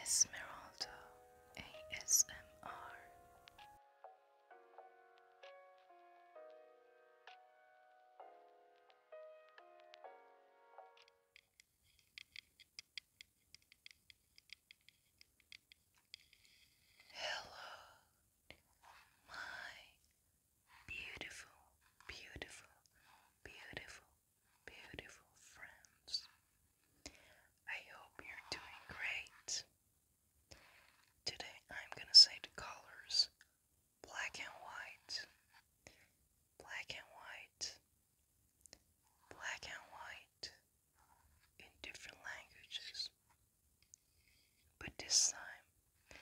Esmeralda ASMR Hello, my beautiful, beautiful, beautiful, beautiful friends. I hope you're doing great. Today I'm gonna say the colors black and white, black and white, black and white in different languages. But this time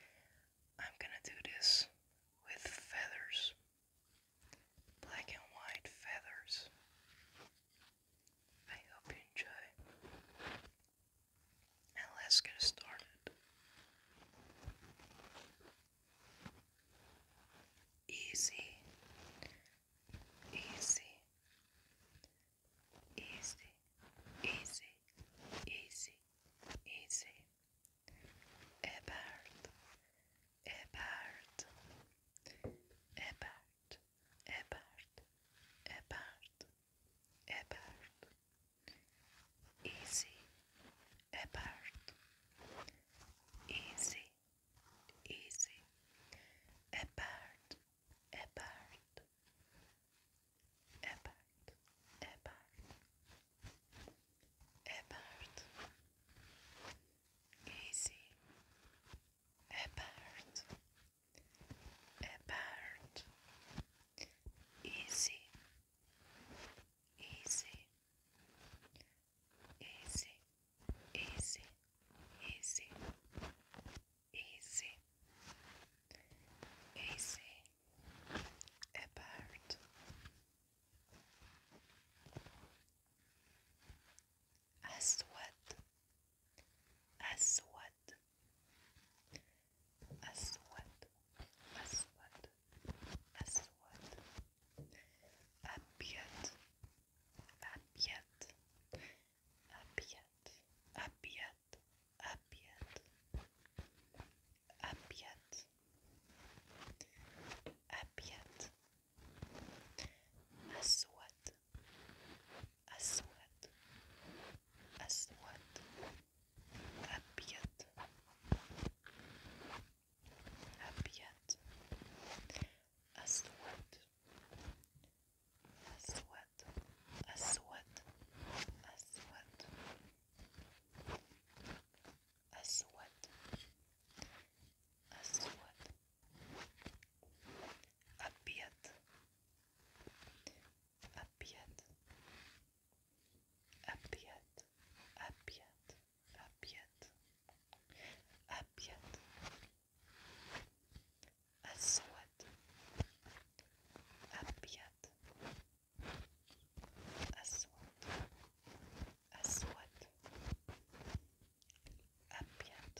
I'm gonna do this with feathers black and white feathers. I hope you enjoy. And let's get started. Easy, easy, easy, easy, easy, easy. A bird, a bird, a bird, a bird, a bird, a bird. Easy, a bird. Easy, easy, a bird, a bird, a bird, a bird, about easy about about easy easy easy easy easy easy about أسود أسود أسود أسود أسود أبيض أبيض أبيض أبيض أبيض أبيض أبيض أسود أسود أسود أبيض أبيض أسود أسود أسود أسود أسود أسود أبيض أبيض أبيض أبيض أبيض أبيض أسود أبيض أسود أسود أبيض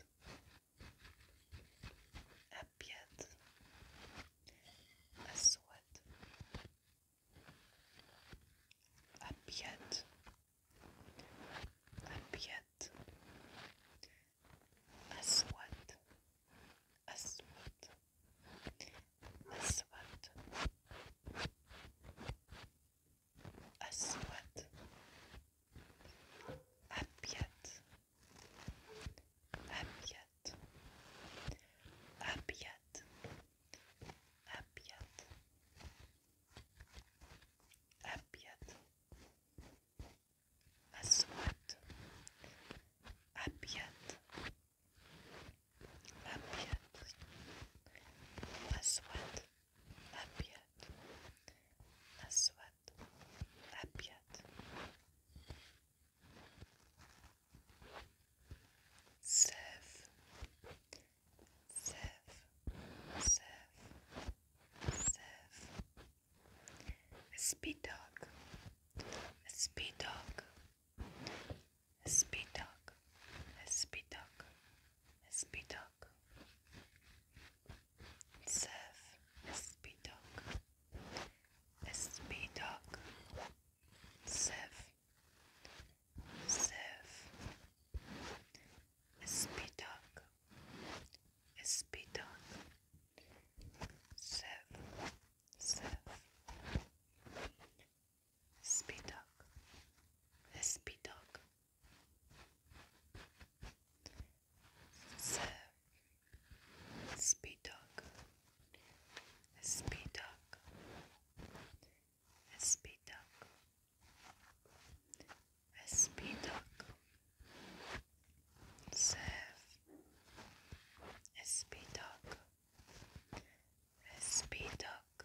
أبيض أسود أبيض أبيض أسود أسود أسود أسود أبيض أبيض أبيض أبيض أبيض أسود أبيض أبيض أسود أبيض أسود أبيض سيف سيف سيف سيف a speed dog a speed dog Spitak, Spitak, Spitak. Seth, Spitak, Spitak. Seth, Seth. Spitak, Spitak. Seth, Seth. Speed dog. This speed dog. Sir. Speed dog. This speed dog. This speed dog. This speed dog. Serve. SP Dog. SP Dog.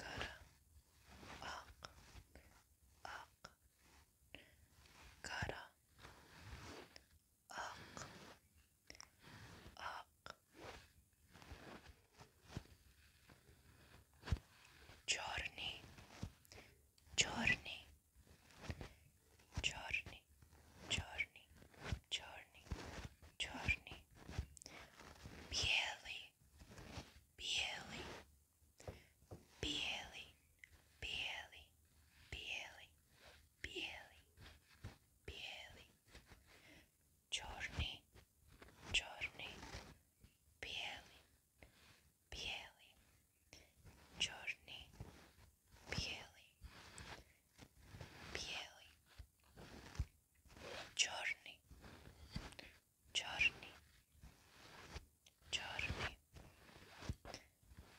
kara ak ak kara ak ak Chorny Chorny Chorny Chorny Chorny Chorny Bieli Billy, Billy, Billy, Billy, Billy, Billy, Journey, Journey, Billy, Billy, Journey, Billy, Billy, Journey, Journey, giorni,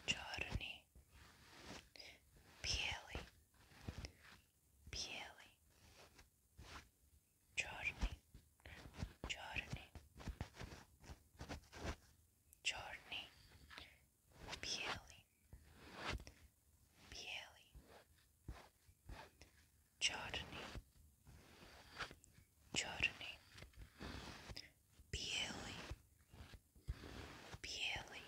giorni, pieli, pieli, giorni, giorni, giorni, pieli, pieli, Czarny, czarny, biely, biely,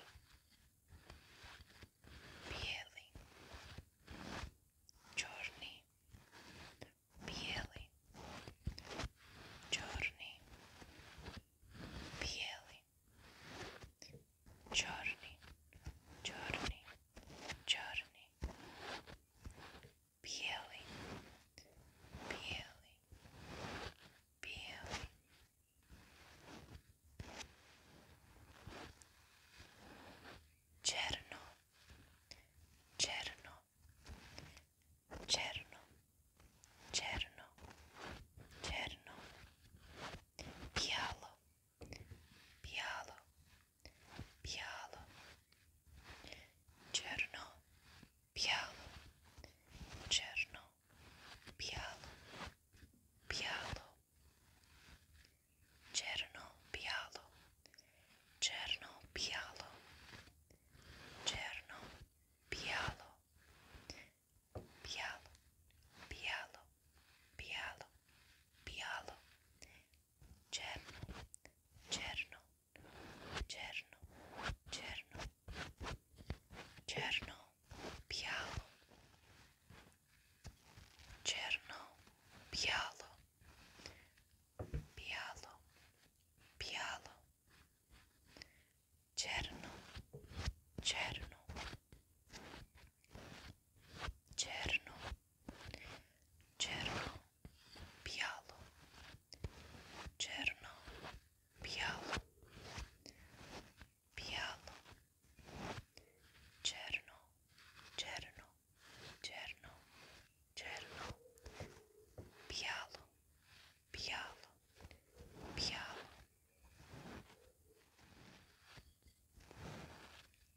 biely, czarny, biely, czarny, biely, czarny, czarny, czarny peeling, peeling, peeling. Cerno, cerno, cerno, cerno, cerno. Pialo, biało, biało, czerno, biało, czerno, biało, biało, czerno, biało, czerno, biało, czerno, biało, biało, biało, biało, biało, Cerno, Cerno, Cerno, Cerno, Cerno, Bialo, Cerno, Bialo, Bialo, Bialo, Cerno, Cerno, černo, černo, bijalo, černo, bijalo, bijalo, černo, černo, černo, černo, bijalo, bijalo, bijalo.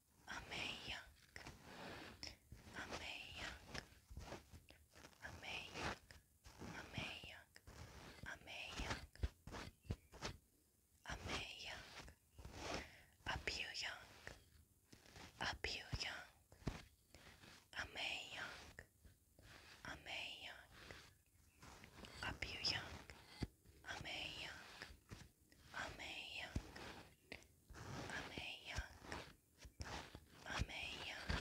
amazing, amazing, amazing, amazing, amazing, amazing, appealing, appealing, amazing, amazing, appealing, amazing. I'm a young, i young, i young,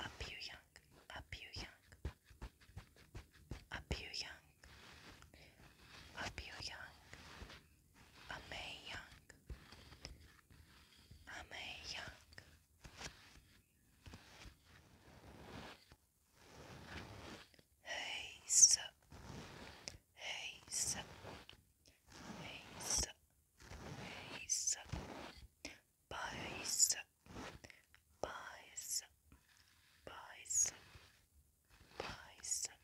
up young, up young, up young, up young, i young, i young. Heisa, Heisa, Heisa, Heisa, Paisa, Paisa, Paisa, Paisa,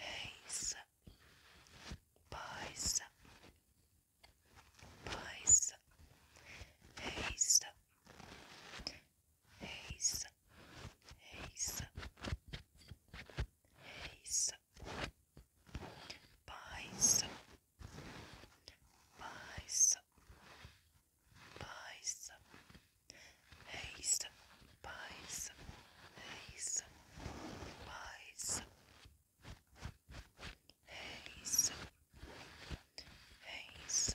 Heisa, Paisa, Paisa, Heisa haze, haze, haze, pies, pies, pies, haze, pies, haze, pies. Haze, haze,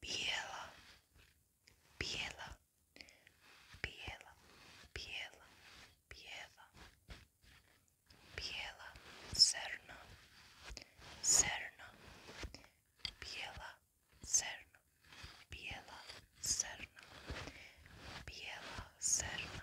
Biela, Biela, Biela, Biela, Biela, Biela, Serna, Serna, Biela, Serna, Biela, Serna, Biela, Serna,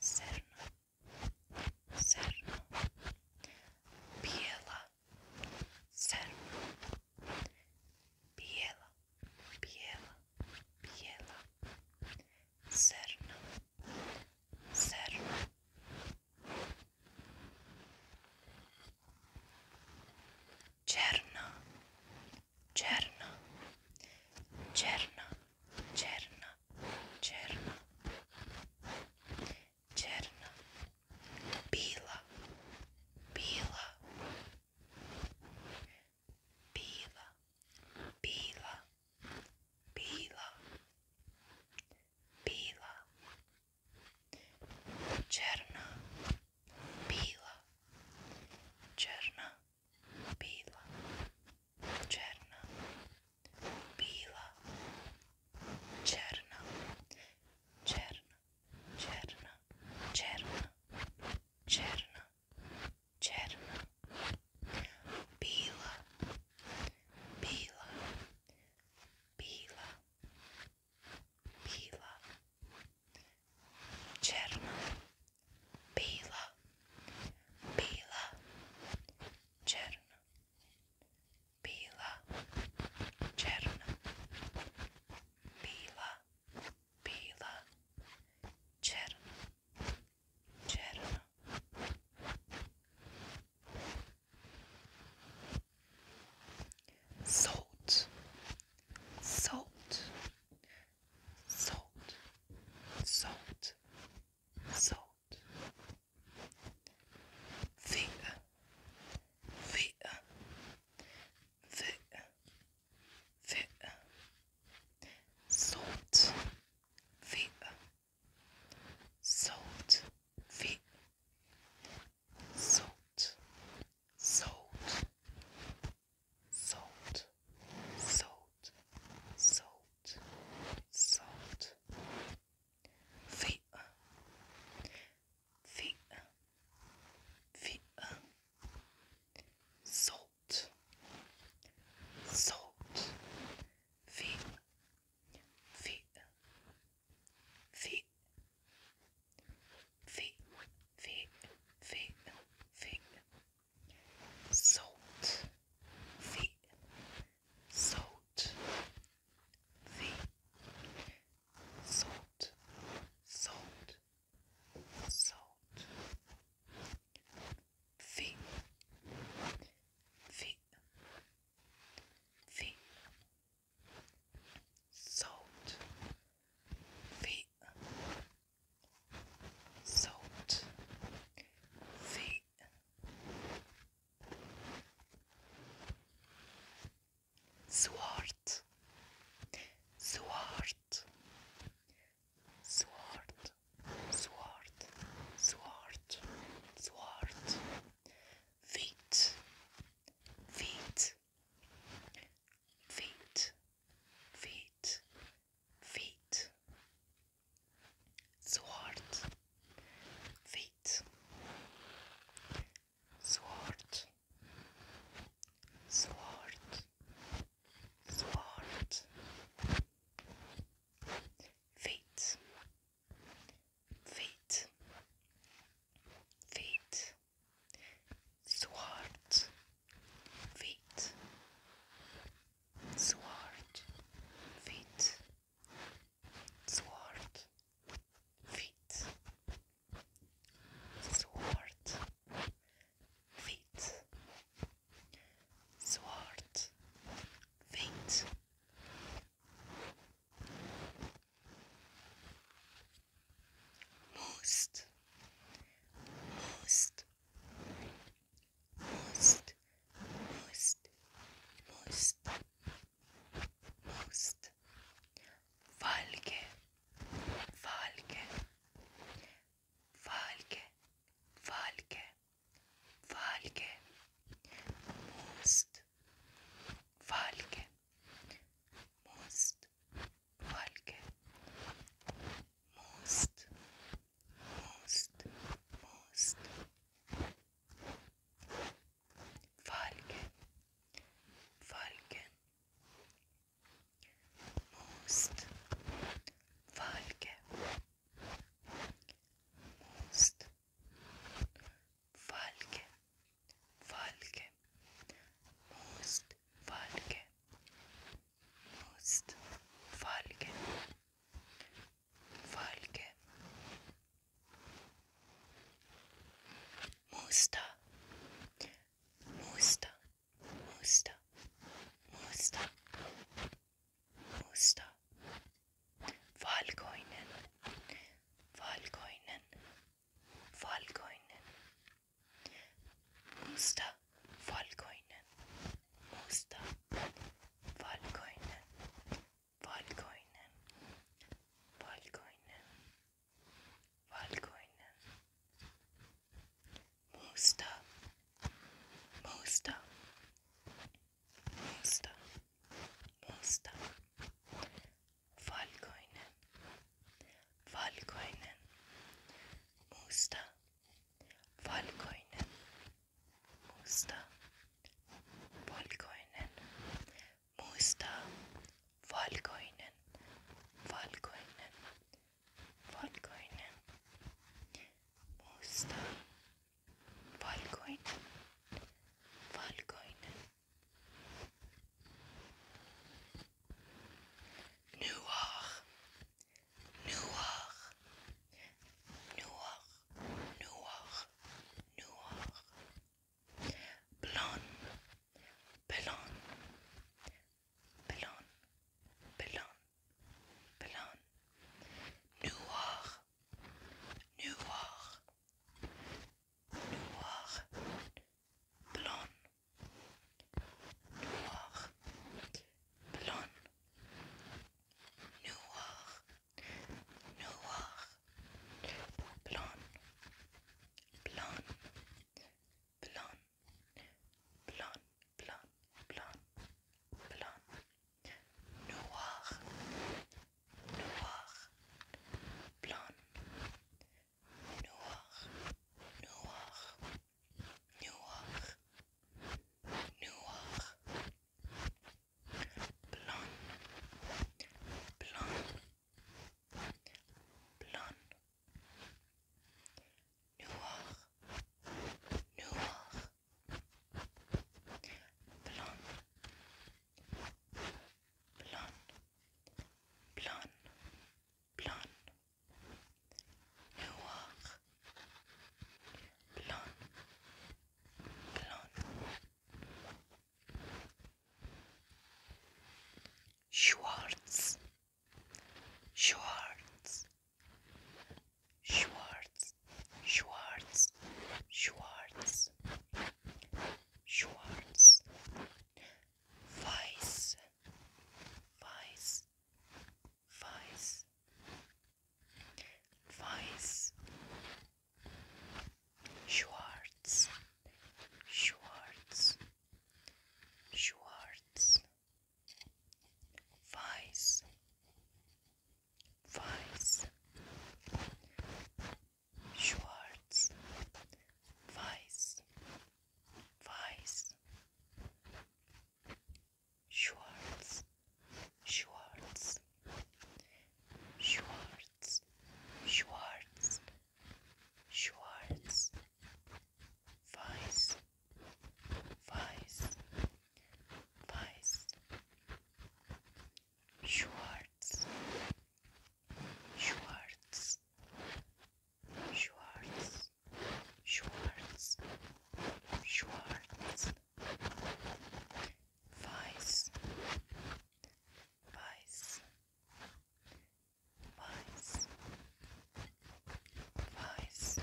Cerno, Cerno, Biela, Cerno, Biela, Biela, Biela, Cerno, Cerno. Cerno, Černo. Černo. Černo. Černo. Černo. Bila. Bila. Bila. Bila. Bila. Bila. Černo. Bila. Černo. Біла, черна, біла, черна, черна, черна, черна, черна, черна, біла, біла, біла, біла, Czerna, biela, biela, czerna, biela, czerna, biela, biela, czerna, czerna. Salt, salt, salt, salt, salt. Finger, finger, finger, finger. Salt, finger, salt, finger, salt, salt, salt, salt, salt, salt. Feet, feet, feet, salt, salt, feet, feet, feet. Feet, feet, feet, feet, feet, salt, the salt, the salt, salt, salt, the the the salt, the salt, feet. Sword, sword, sword, sword, sword, sword, feet, feet, feet, feet, feet. Sword, feet, sword, sword, sword, feet, feet, feet, sword feet, sword, feet, sword, feet, sword, feet, sword, feet. Most, most, most, most, most, most. Falke, falke, falke, falke, falke, most, falke, most, falke, most, most, most Falcon, Falcon, most Falcon, most Falcon, Falcon, most falke most falke falke musta musta musta musta musta Valkoinen, Valkoinen, Valkoinen, Musta Valkoinen, Musta Valkoinen, Valkoinen, Valkoinen, Valkoinen, Musta, Musta, Musta, Musta, Valkoinen, Valkoinen, Musta. Valkoinen, musta, valkoinen, musta, valkoinen, valkoinen, valkoinen, musta, valkoinen, valkoinen. Noir, noir, noir, noir, noir, blanc, blanc, blanc, blanc, blonde, noir, noir, noir, blanc noir, blonde, noir, noir, blonde, blonde, blonde, blonde, blonde, blonde, noir, noir, blonde, noir, noir. noir, noir, blonde, blonde, blonde, noir, noir, blonde, blonde, blonde. Blond, noir, blonde, blonde, Schwartz, Schwartz, Schwartz, Schwartz, Schwartz, Schwartz, Weiß, Weiß, voice, voice, Schwartz, Schwartz, Schwartz, voice, voice, Schwartz, voice, voice. Schwartz, Schwartz, Schwartz, Schwartz, Schwartz, Weiß, Weiß, Weiß, Schwartz, Schwartz, Schwartz, Schwartz, Schwartz, Weiss, Weiss, Weiss, Weiss,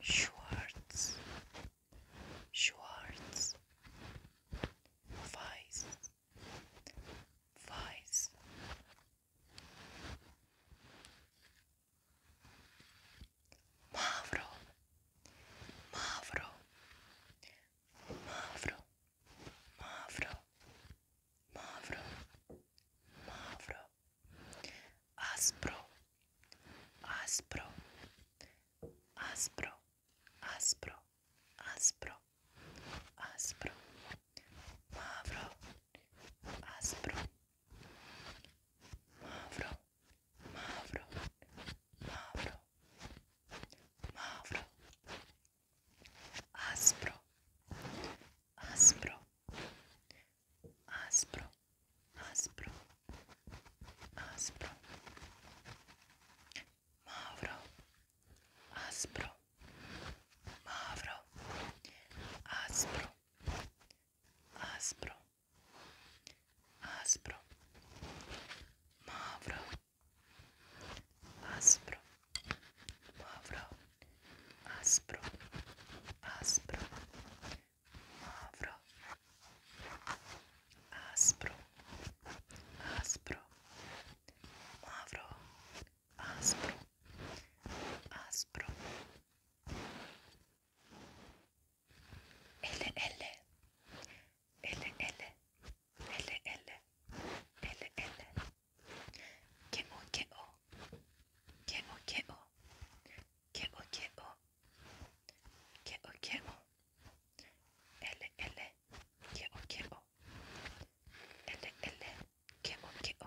Schwartz, Schwartz, Weiss, Weiss. Μαύρο, μαύρο, μαύρο, μαύρο, μαύρο, μαύρο, άσπρο, άσπρο, άσπρο, άσπρο, άσπρο, άσπρο, μαύρο, άσπρο. Mavro, mavro, mavro, mavro. Aspro, aspro, aspro, aspro, aspro, aspro, mavro, aspro, mavro, aspro, aspro, mavro, aspro, aspro, mavro aspro, aspro, L, L, L, L, L, L, L, L, K, O, K, O, K, O, K, O, K, O, K, O, K, O, K, O, L, L, K, O, K, O, L, L, K, O, K, O,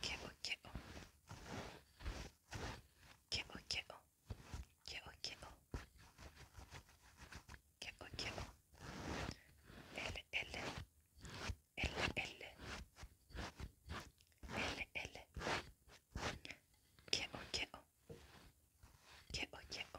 けおけおけおけおけおけおけおけお L L L L L L けおけおけおけおけおけお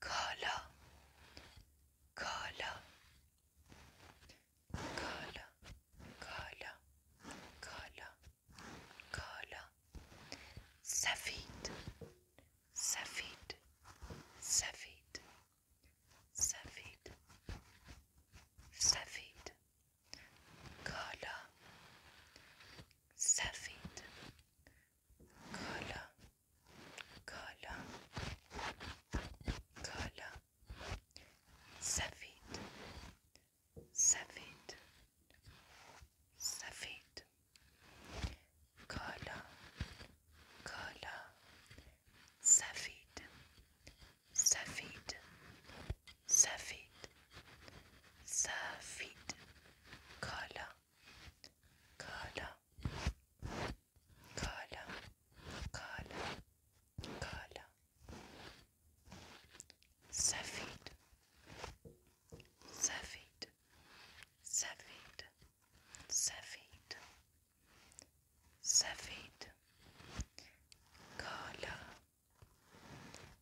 color color color color color color safid safid safid safid safid color safid color, color, color, Safid, Safid, Safid, color, color, Safid, Safid, Safid, Safid, color color, color, color, color, Safid, Safid, Safid, Safid, Safid, color,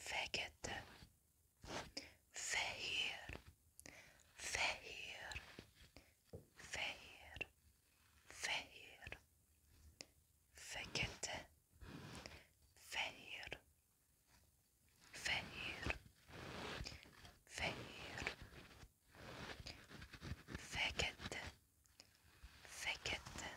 fekete, fehér, fehér, fehér, fehér, fekete, fehér, fehér, fehér, fekete, fekete,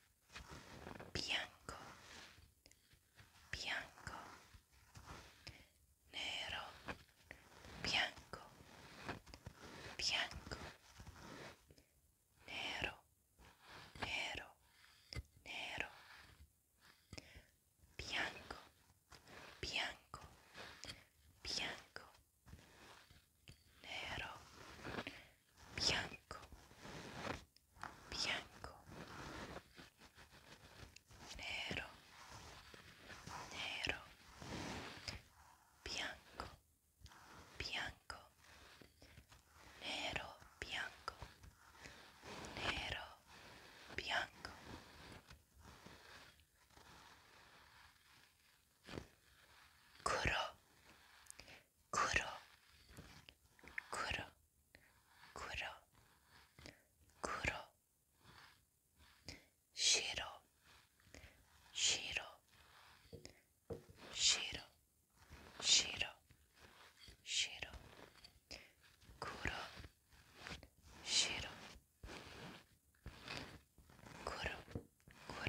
bianco, bianco, nero, bianco, bianco, nero, nero, nero, bianco, bianco, bianco nero, bianco, bianco, nero, nero, bianco, bianco, nero, bianco, nero, bianco. Kuro, 黒黒黒黒白白白白白黒白黒黒黒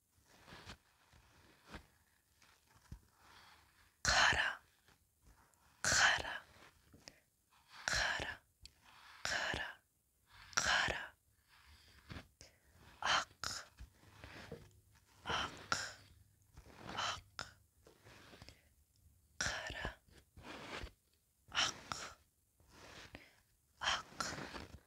kara kara kara kara kara ak ak ak kara ak ak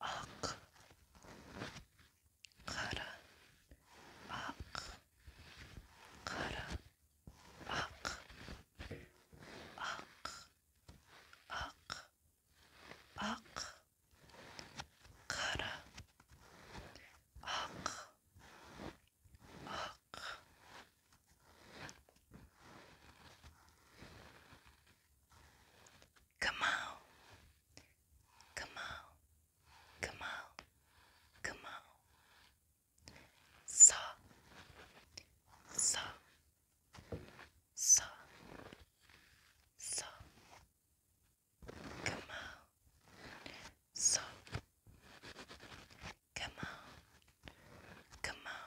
ak kara ak kara ak ak ak ak kara ak ak Kamal, Kamal, Kamal, Kamal. Sa, sa, sa, sa. Kamal, sa. Kamal, Kamal,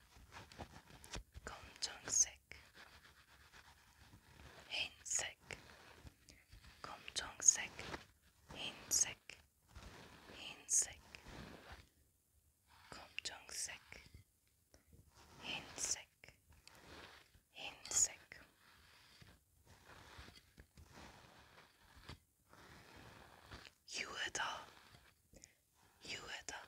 검정색 흰색 검정색 흰색 흰색 검정색 흰색 흰색 유에다 유에다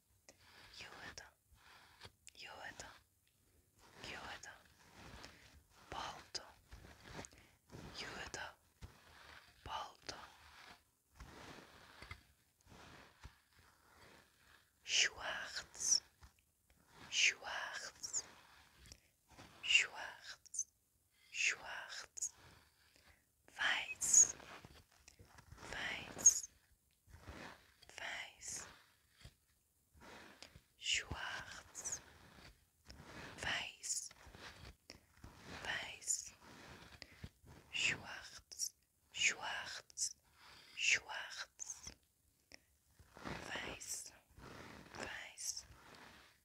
Юэда, юэда, юэда, балто, юэда, балто. Schwarz, schwarz, schwarz, schwarz, weiß, weiß, weiß, schwarz, weiß, weiß, schwarz, schwarz, schwarz, weiß, weiß,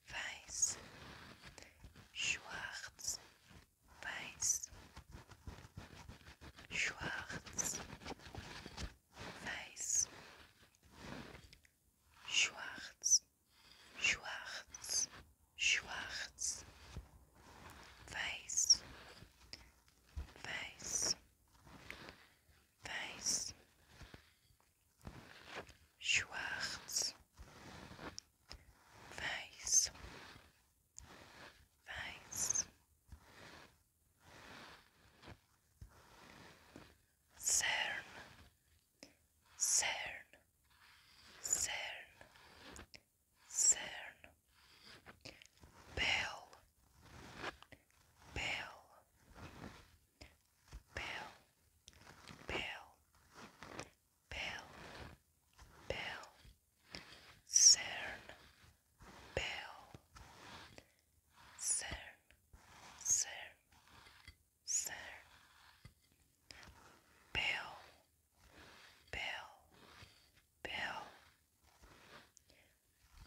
weiß, schwarz, weiß, Schwarz weiß Schwarz Schwarz Schwarz weiß weiß weiß Schwarz weiß weiß CERN, CERN, CERN, CERN, Bell, Bell, Bell, Bell, Bell, Bell, CERN, Bell, CERN, CERN, CERN, Bell, Bell, Bell,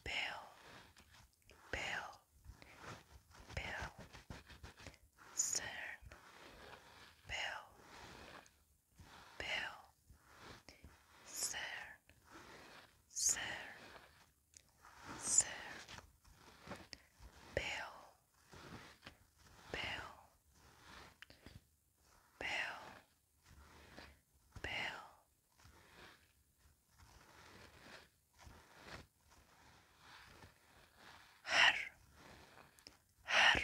Bell, Bell, Bell, CERN, Bell, Bill, CERN, CERN, CERN, Bill, Bill, Bill, Bill. Her, her, her.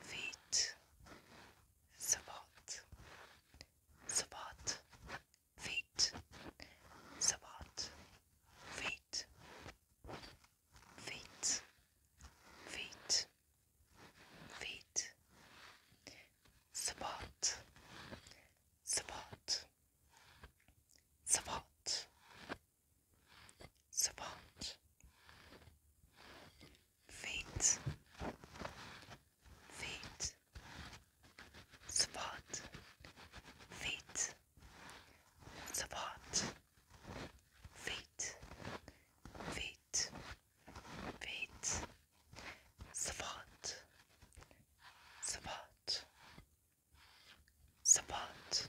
feet, sabat, sabat, feet, sabat, feet, feet, feet, feet, sabat, sabat, sabat, sabat. Feet, faint, spot, fate, spot, fate, fate, fate, spot, spot, spot.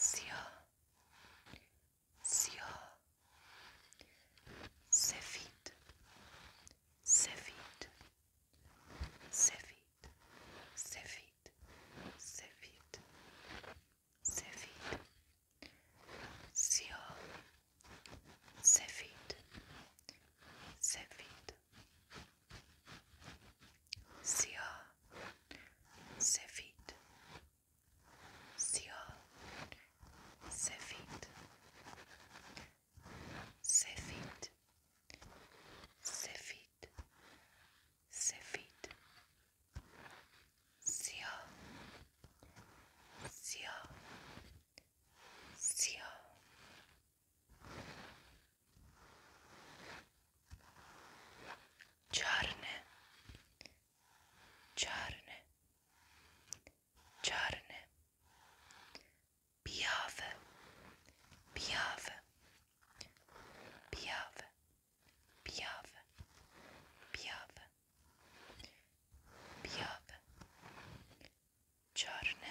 siyah siyah sefit sefit sefit sefit sefit sefit siyah sefit sefit siyah Sefit, Sial, Sefit, Sefit, Sefit, Sefit, Sial, Sial, Sial. Czarne, czarne, czarne, biawe, biawe, biawe, biawe, biawe, biawe, czarne,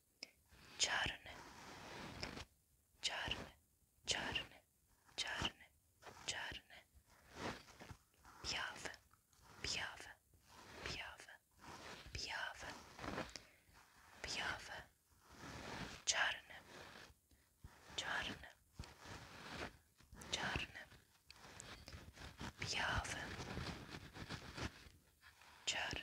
czarny, czarny, czarny, czarny, czarny, biały, biały, biały, biały, biały, czarny, czarny, czarny, biały, czarny.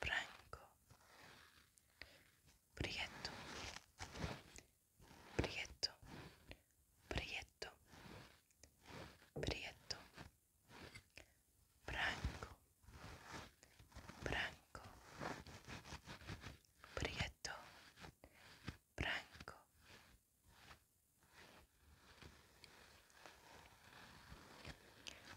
branco, prieto, prieto, prieto, prieto, branco, branco, prieto, branco.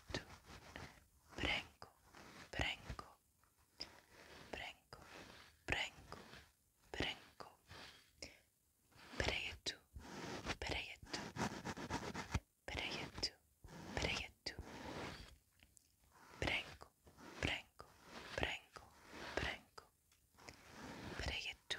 quieto. Branco, branco, branco, branco, branco, preto, preto, preto, preto, branco, branco, branco, branco, preto,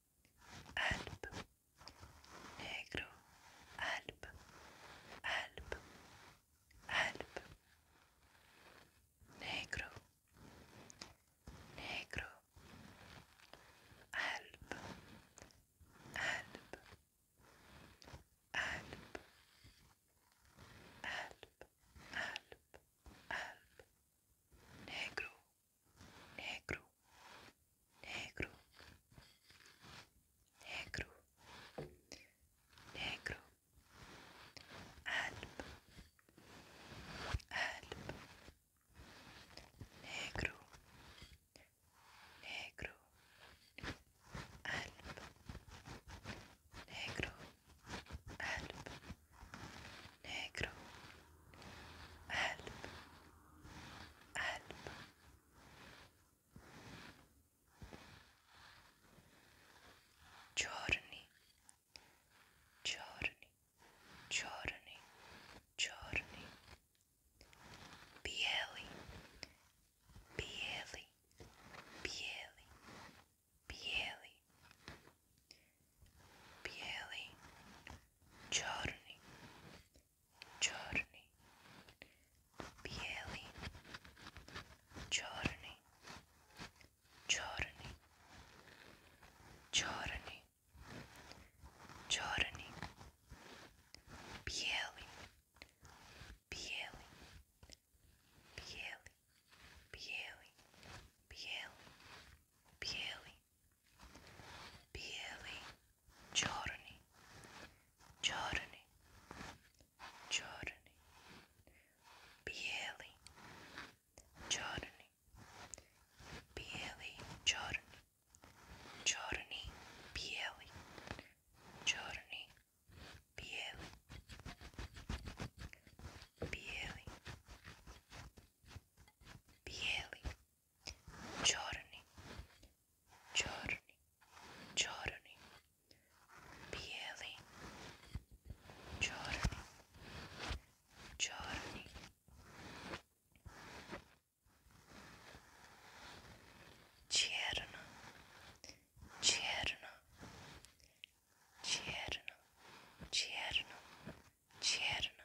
Alb, negro, alb, alb, alb, negro, negro, alb, alb, alb, alb, alb, alb, negro negro, negro, negro, negro, قلب, قلب, negro, negro, قلب, negro, قلب, negro, قلب, Giorni, giorni, giorni, giorni. Bieli, bieli, bieli, bieli. Bieli, giorni, чорний, білий, чорний, чорний, чорний, чорний, білий, білий, білий, білий, білий, білий білий, чорний, чорний, чорний, білий, чорний, білий, чорний, чорний, білий, чорний, білий, білий, білий giorni, giorni, giorni, piedi, giorni, giorni. Cierna, cierna, cierna, cierna, cierna,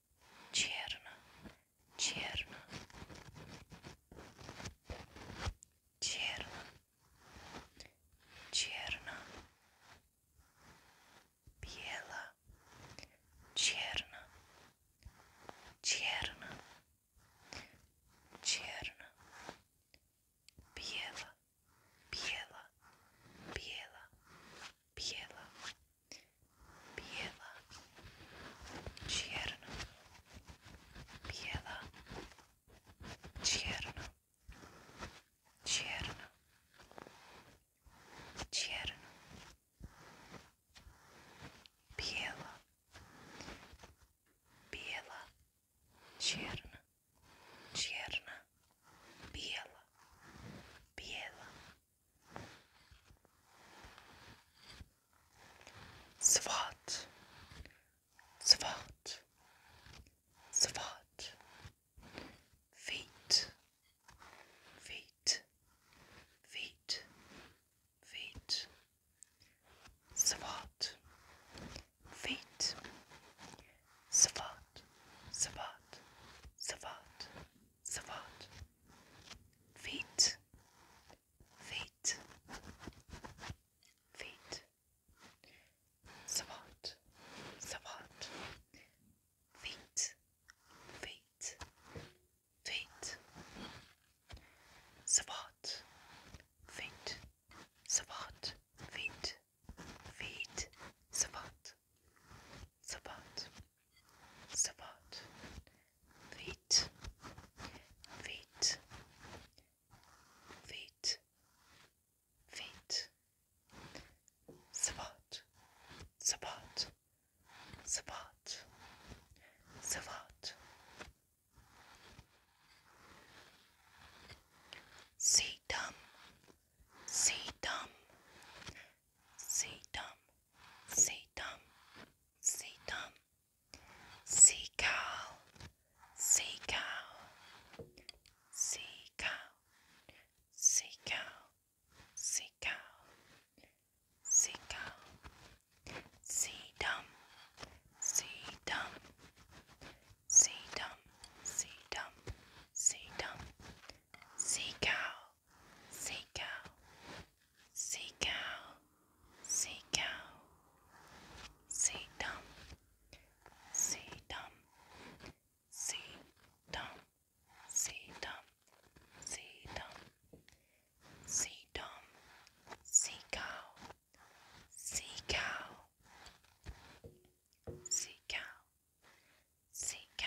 черно, черно, черно, черно, бело, черно, черно, черно, бело, бело, бело, бело biela, čierna, biela, čierna, čierna, čierna, biela, biela, čierna, čierna, biela, biela. Swat, swat, swat. Feet, feet, feet, feet. Swat, feet. Swat, swat, swat, swat, feet, feet, feet, support, support, feet, feet, feet, support, feet, support, feet, feet, support. Sabat, Sabat, Feet, Feet, Feet, Feet, Sabat, Sabat, Sabat, Sabat. See dumb, see dumb, see dumb. Satan, Satan, sea cow, sea cow, sea cow, sea cow, sea cow, sea cow, sea dumb, sea dumb, sea dumb, sea dumb, sea dumb, sea cow seek out, seek out, seek out, see dumb, see dumb, see dumb, see dumb, see dumb, see dumb, see cow, see cow, see cow, see cow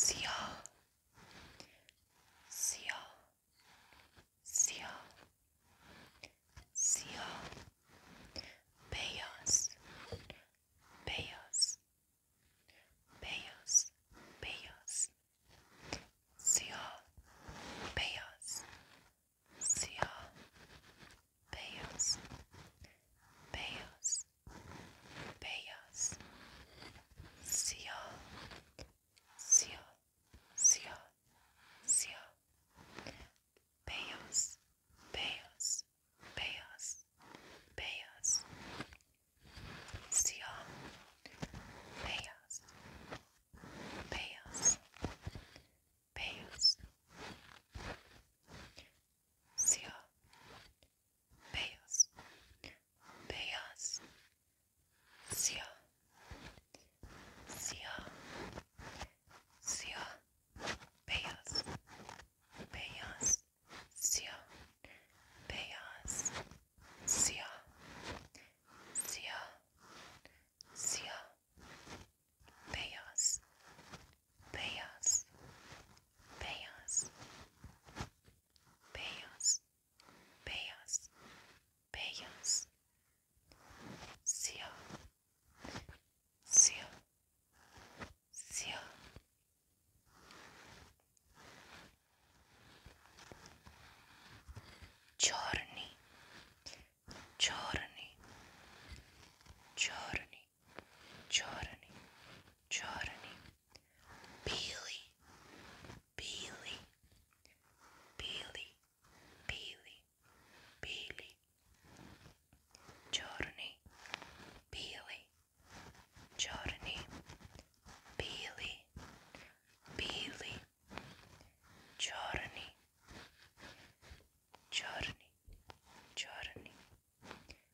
Siyah Siyah Siyah Siyah Beyaz Beyaz Beyaz Beyaz Siyah Beyaz Siyah Beyaz Beyaz Beyaz Siyah Siyah Siyah Siyah Beyaz Beyaz Beyaz Beyaz Siyah Beyaz Beyaz Beyaz Siyah Beyaz, beyaz, siyah, siyah, siyah, beyaz, beyaz, siyah, beyaz, siyah, siyah, siyah, beyaz, pay us, pay us, pay us, pay us, pay us. Sia, Sia, Sia. Giorni, giorni, giorni. Чорний, чорний, чорний, білий, білий, білий, білий, білий, чорний, білий, чорний, білий, білий, чорний, чорний, чорний,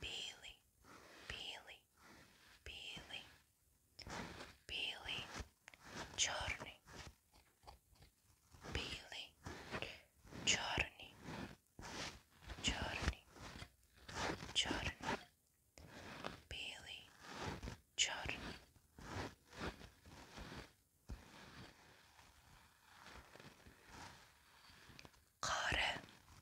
Billy, Billy, Billy, Billy, Чорний, Billy, Чорний, Чорний, Чорний, Billy, Чорний. Kare,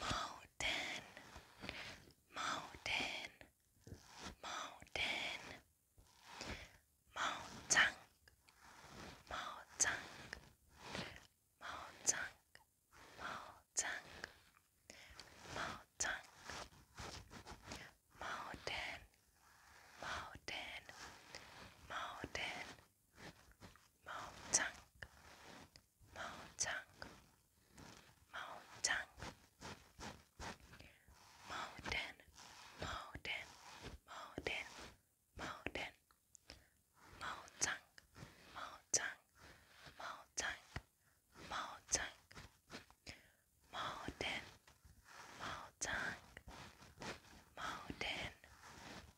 Mountain, mountain, mountain, mountain, mountain, mountain, mountain, mountain, mountain, mountain, mountain. Montang, Montang, Montang, Mountain, Mountain, Mountain, Mountain, Montang, Montang, Mountain, Mountain, Mountain, Mountain, Mountain,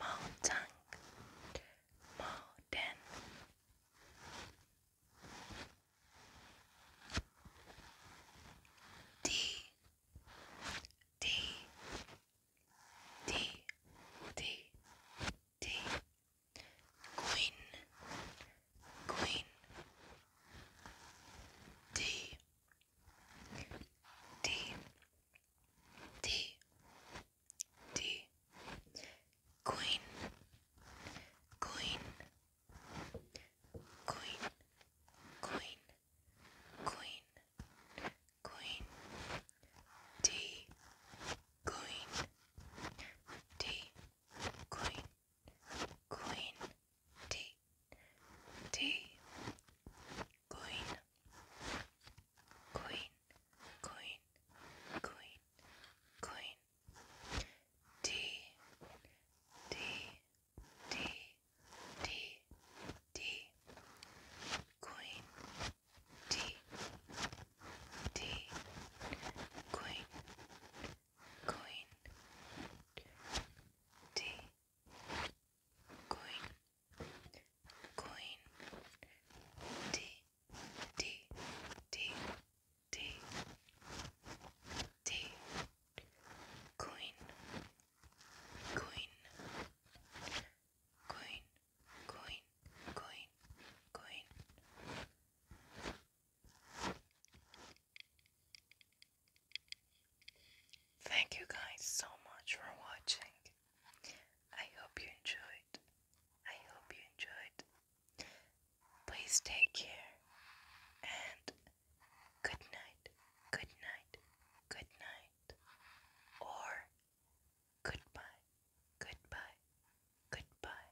mountain, mountain. D, D, D, D, D. Queen, Queen. D, D, D D Queen Queen Queen Queen Queen Queen D Queen D Queen Queen D D Queen Coin, Queen, Queen, Queen. D, D, D, D, D. Queen, D, D, Queen, Queen, D coin, coin, D, D, D, D, D, coin, coin, coin, coin, coin, coin. Thank you guys so much for watching. I hope you enjoyed. I hope you enjoyed. Please take care and good night, good night, good night, or goodbye, goodbye, goodbye.